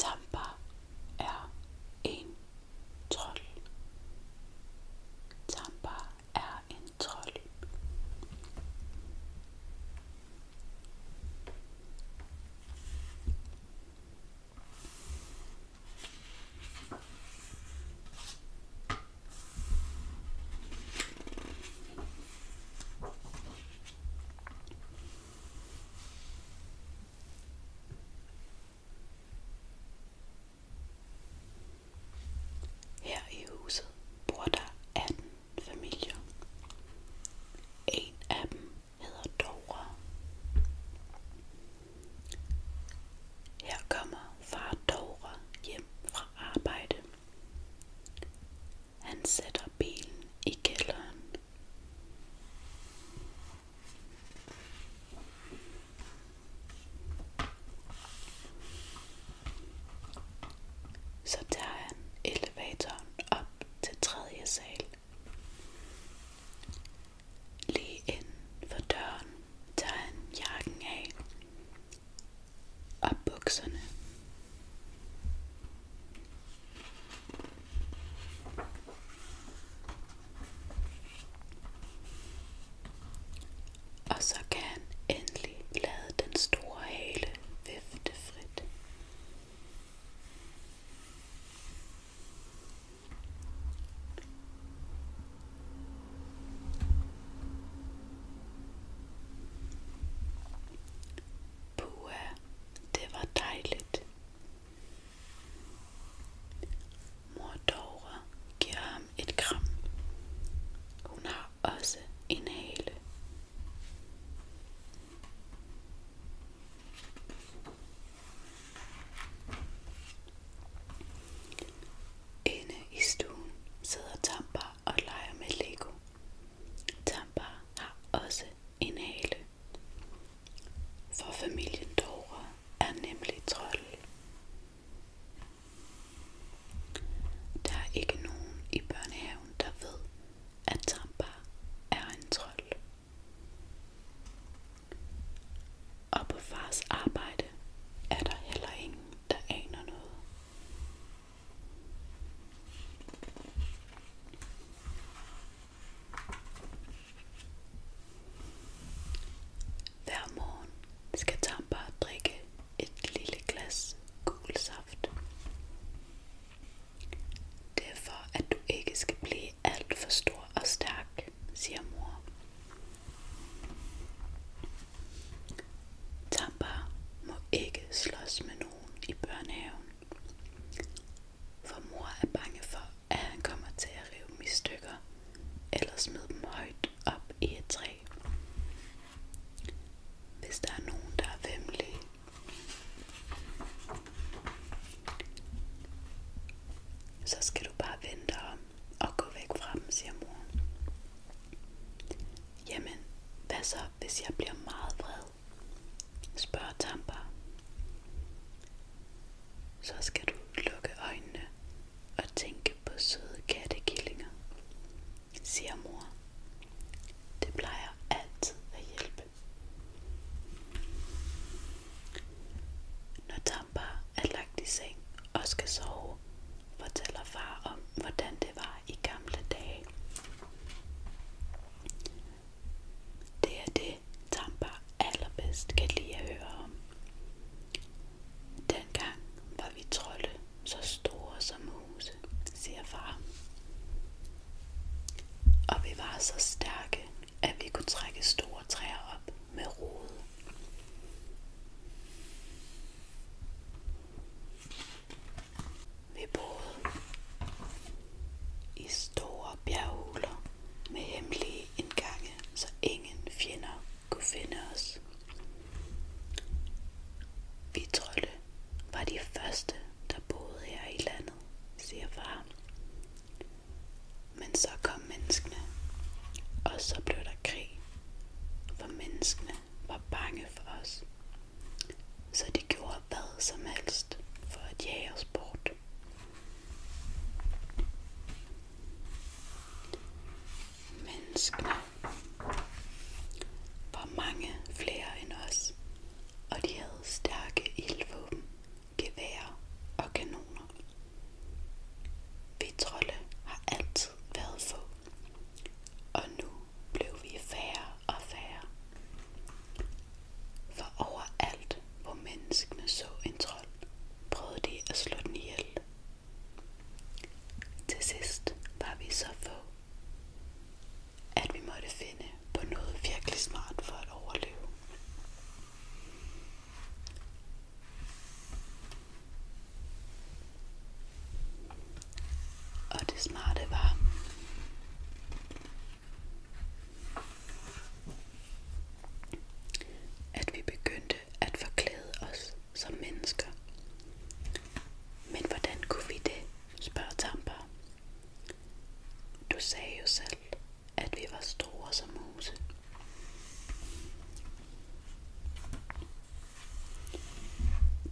Tampa er en trold. Tampa er en trold. Her i huset bor der 18 familier. En af dem hedder Dora. Her kommer far Dora hjem fra arbejde. Han sætter bilen i kælderen. Så tager han elevatoren op til tredje sal. Lige inden for døren tager han jakken af og bukserne. Og så kan han endelig lade den store hale vifte frit. Pua, det var dejligt. Mor Dora giver ham et kram. Hun har også en hale. Inde i stuen sidder Tampa og leger med Lego. Tampa har også en hale. For familien Dora er nemlig trold. Der er ikke nogen i børnehaven, der ved, at Tampa er en trold. Og på fars arbejde er der heller ingen, der aner noget. Hver morgen skal Tampa drikke et lille glas gul saft. Det er for, at du ikke skal blive alt for stor og stærk, siger mor. Tampa må ikke slås med nogen i børnehaven. For mor er bange for, at han kommer til at rive dem i stykker, eller smide dem højt op i et træ. Hvis der er nogen, der er vemmelige, så skal du bare vente om og gå væk fra dem, siger mor. Jamen, hvad så, hvis jeg bliver meget vred? spørger Tampa. Så skal du lukke øjnene og tænke på søde kattekillinger, siger mor. Det plejer altid at hjælpe. Når Tampa er og skal sove, fortæller far om, hvordan det var i gamle dage. Det er det, Tampa allerbedst kan lide at om. Dengang var vi trolde så store som huse, siger far. Og vi var så stærke, ønske, at vi kunne trække store træer op med rode. Vi boede i store bjerghuler med hemmelige indgange, så ingen fjender kunne finde os. Vi trolde var de første, der boede her i landet, siger far. Men så kom menneskene, og så blev der krig, for menneskene var bange for os. Så de gjorde hvad som helst for at jage os bort. Menneskene var mange flere end os, og de havde stærke ildvåben geværer og kanoner. Vi trolde har altid været få, og nu blev vi færre og færre. For overalt, hvor menneskene så en trold, prøvede de at slå den ihjel. Til sidst var vi så få, at vi måtte finde på noget virkelig smart for at overleve. Og det smarte var, at vi begyndte at forklæde os som mennesker. Men hvordan kunne vi det, spørger Tamper. Du sagde jo selv, at vi var store som huse.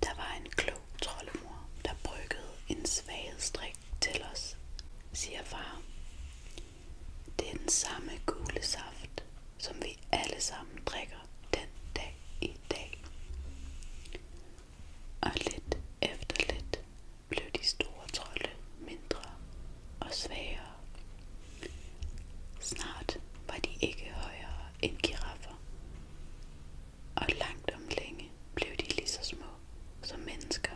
Der var en klog troldemor, der bryggede en svaghedsdrik til os, siger far. Det er den samme gule saft, som vi alle sammen drikker den dag i dag. Og lidt efter lidt blev de store trolde mindre og svagere. Snart var de ikke højere end giraffer, og langt om længe blev de lige så små som mennesker.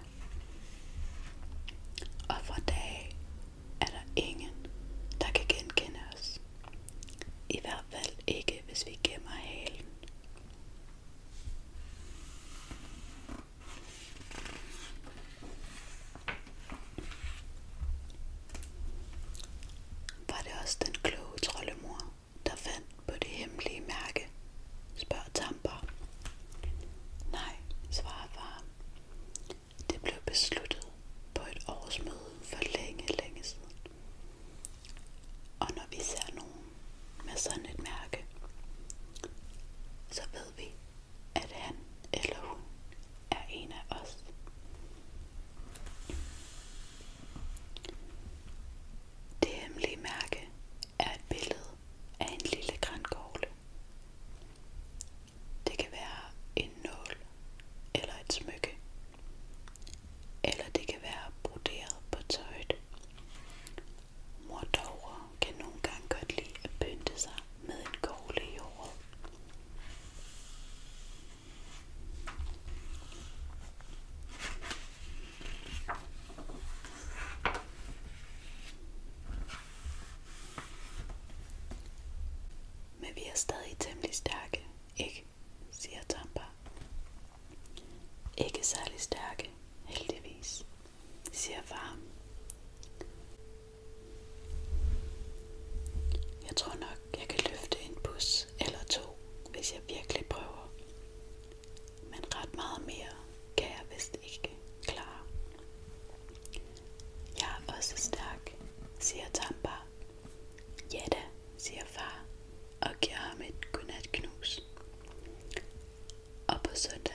Og fra dag er der ingen, der kan genkende os. I hvert fald ikke, hvis vi gemmer halen. Var det også den kloge troldemor, der fandt på det hemmelige mærke? spørger Tamper. Nej, svarer far. Det blev besluttet på et årsmøde for længe, længe siden. Og når vi ser nogen, med sådan et mærke, så ved vi, at han eller hun er en af os. Det hemmelige mærke er et billede af en lille grænkogle. Det kan være en nål eller et smykke. Eller det kan være broderet på tøjet. Mordovre kan nogle gange pynte sig med en kogle Men vi er stadig temmelig stærke, ikke? siger Ikke særlig stærke, heldigvis siger far. Jeg tror nok, jeg kan løfte en bus eller to, hvis jeg virkelig prøver. Men ret meget mere kan jeg vist ikke klare. Jeg er også stærk, siger Tampa. Ja da, siger far og giver ham et godnatknus. Og på søndag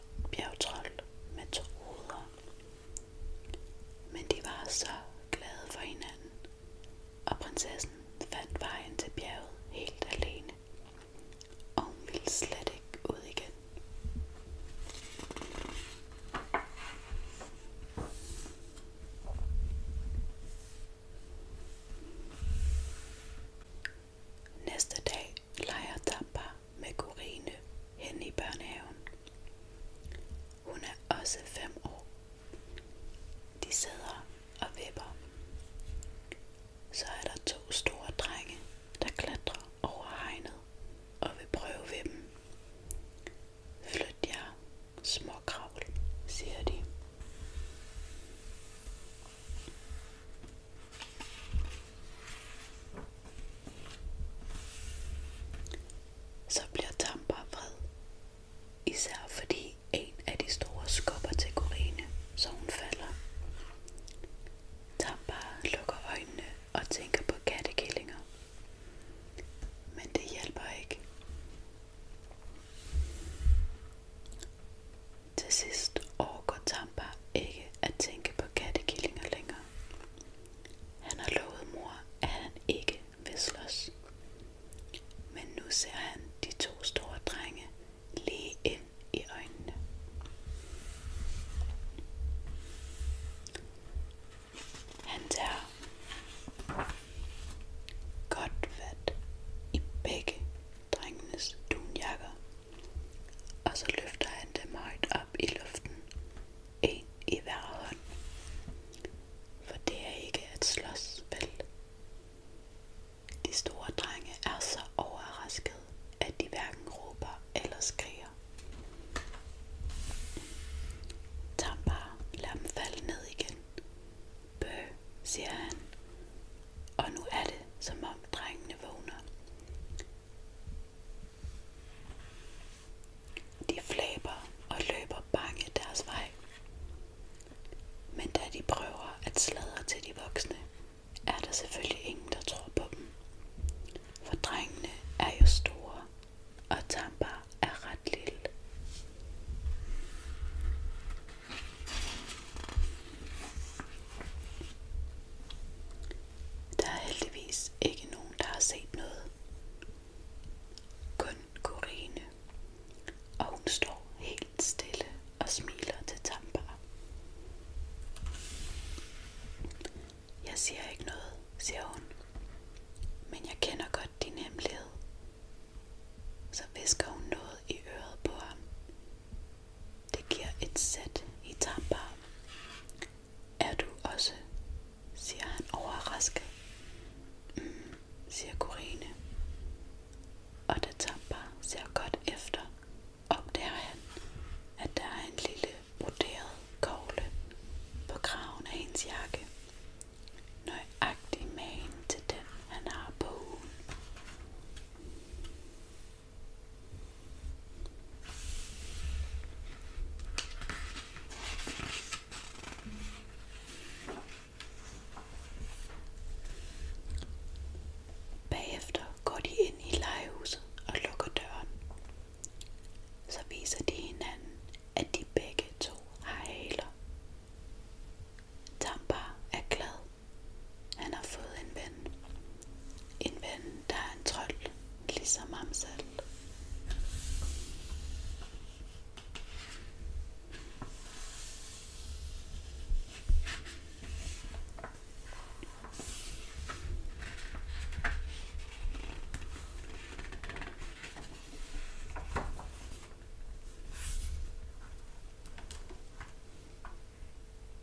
bjergtrold med to hoveder. Men de var så glade for hinanden, og prinsessen fandt vejen til bjerget helt alene. Og hun ville slet ikke ud igen. Næste dag leger Dampa med Corine hen i børnehaven. Hun er også fem år. De sidder og vipper. Så er der to store drenge, der klatrer over hegnet og vil prøve ved dem. Flyt jer, småkravl, siger de. Så bliver Tampa vred, især fordi en af de store skubber til så hun falder. Tampa lukker øjnene og tænker på kattekillinger. Men det hjælper ikke. Til sidst overgår Tampa ikke at tænke på kattekillinger længere. Han har lovet mor, at han ikke vil Men nu ser han de to store drenge lige i øjnene. Han tager godt i begge drengenes dunjakker, og så løfter han han dem højt op i luften, en i hver hånd. For det er ikke at slås, vel? De store drenge er så overraskede, at de hverken råber eller skriger. Tam bare, lad dem falde ned igen. Bø, siger han. Og nu er det, som om drengene vågner. De flæber og løber bange deres vej. Men da de prøver at sladre til de voksne, er der selvfølgelig ingen, der tror på dem. For drengene er jo store, og Tampa er ret lille. Der er heldigvis ikke nogen, der har set noget. Kun Corine. Og hun står helt stille og smiler til Tambar. Jeg siger ikke noget, siger hun. Men jeg kender godt din hemmelighed. Så visker hun noget i øret på ham. Det giver et sæt i Tambar. Er du også? siger han overrasket. Mm, siger Corine. Og da Tampa ser godt efter, opdager han, at der er en lille broderet kogle på kraven af hendes jakke. Nøjagtig magen til den, han har på ugen. Bagefter går de ind i legehuset og lukker døren. Så viser de hinanden, at de begge to har haler. Tampa er glad. Han har fået en ven. En ven, der er en trold, ligesom ham selv.